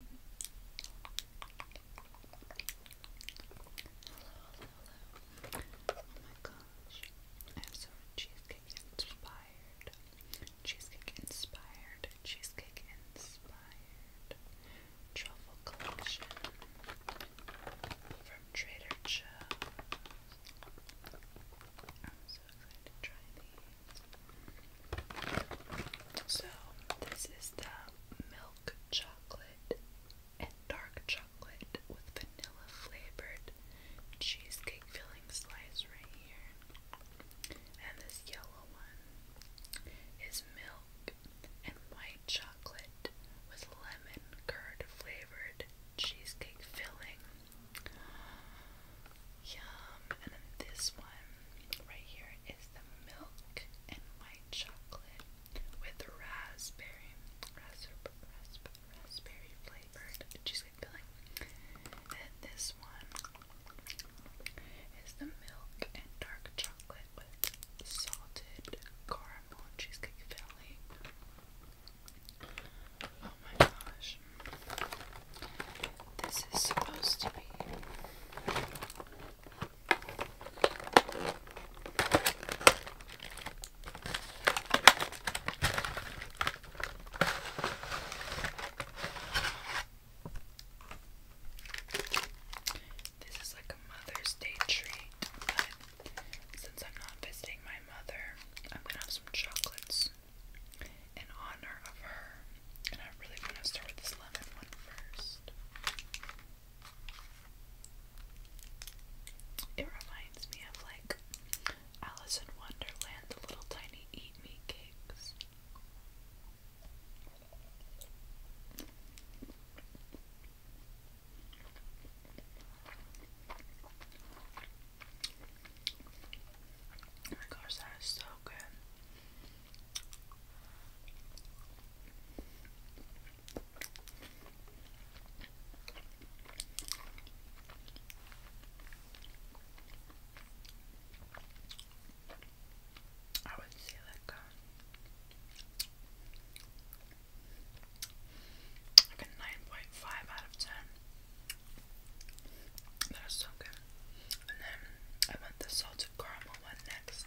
Oh my gosh. I have so cheesecake inspired. Cheesecake inspired. Cheesecake inspired. Truffle collection from Trader Joe's. I'm so excited to try these. So, this is the milk chocolate and dark chocolate with vanilla flavored cheesecake filling slice right here. And this yellow one is milk and white chocolate with lemon curd flavored cheesecake filling. Yum. And then this one Right here is the milk and white chocolate with raspberry, raspberry, raspberry, flavored cheesecake filling. And this one is the milk and dark chocolate with salted caramel cheesecake filling. Oh my gosh. This is supposed to be this is like a Mother's Day treat, but since I'm not visiting my mother, I'm gonna have some chocolates in honor of her. And I really want to start with this lemon one first. It reminds me of like Alice in Wonderland, the little tiny eat me cakes. Oh my gosh, that is so good. I would say like a, um, a nine point five out of ten. That is so good. And then I want the salted caramel one next.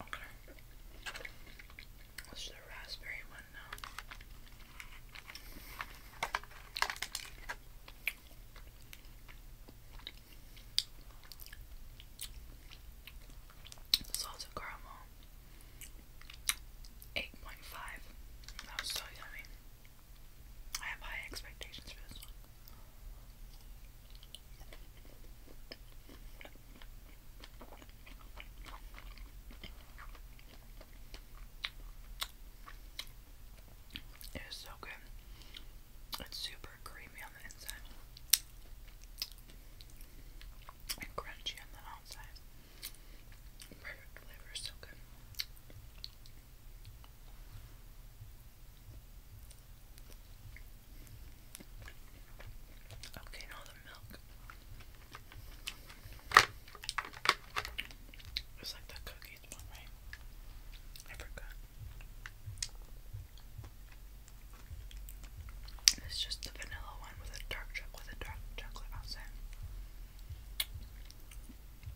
Okay. What's the raspberry one now? Salted caramel. 8.5. That was so yummy. I have high expectations for this one. It is so good. It's super creamy on the inside and crunchy on the outside. Perfect flavor, so good. Okay, now the milk. It's like the cookies one, right? I forgot. It's just the vanilla one with a dark chocolate, with a dark chocolate outside.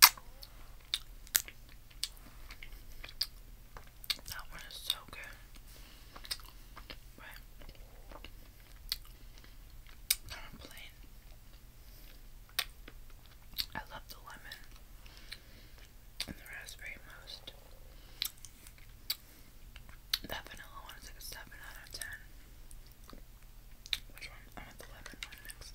That one is so good. Right. i love the lemon and the raspberry most. That vanilla one is like 7 out of 10. Which one? I want the lemon one next.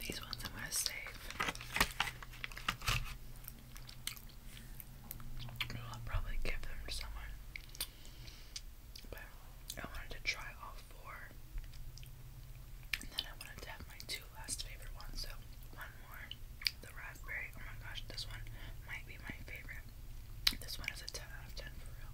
These ones I'm gonna save. I'll probably give them to someone. But I wanted to try all four. And then I wanted to have my two last favorite ones, so one more the raspberry. Oh my gosh, this one might be my favorite. This one is a 10 out of 10 for real.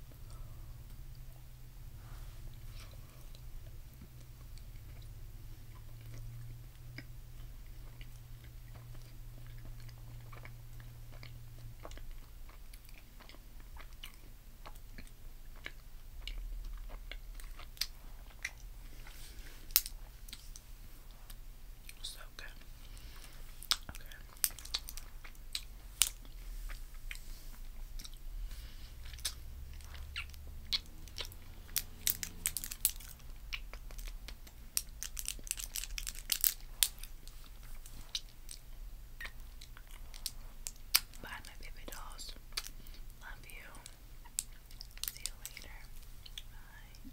So Bye, my baby dolls. Love you. See you later. Bye.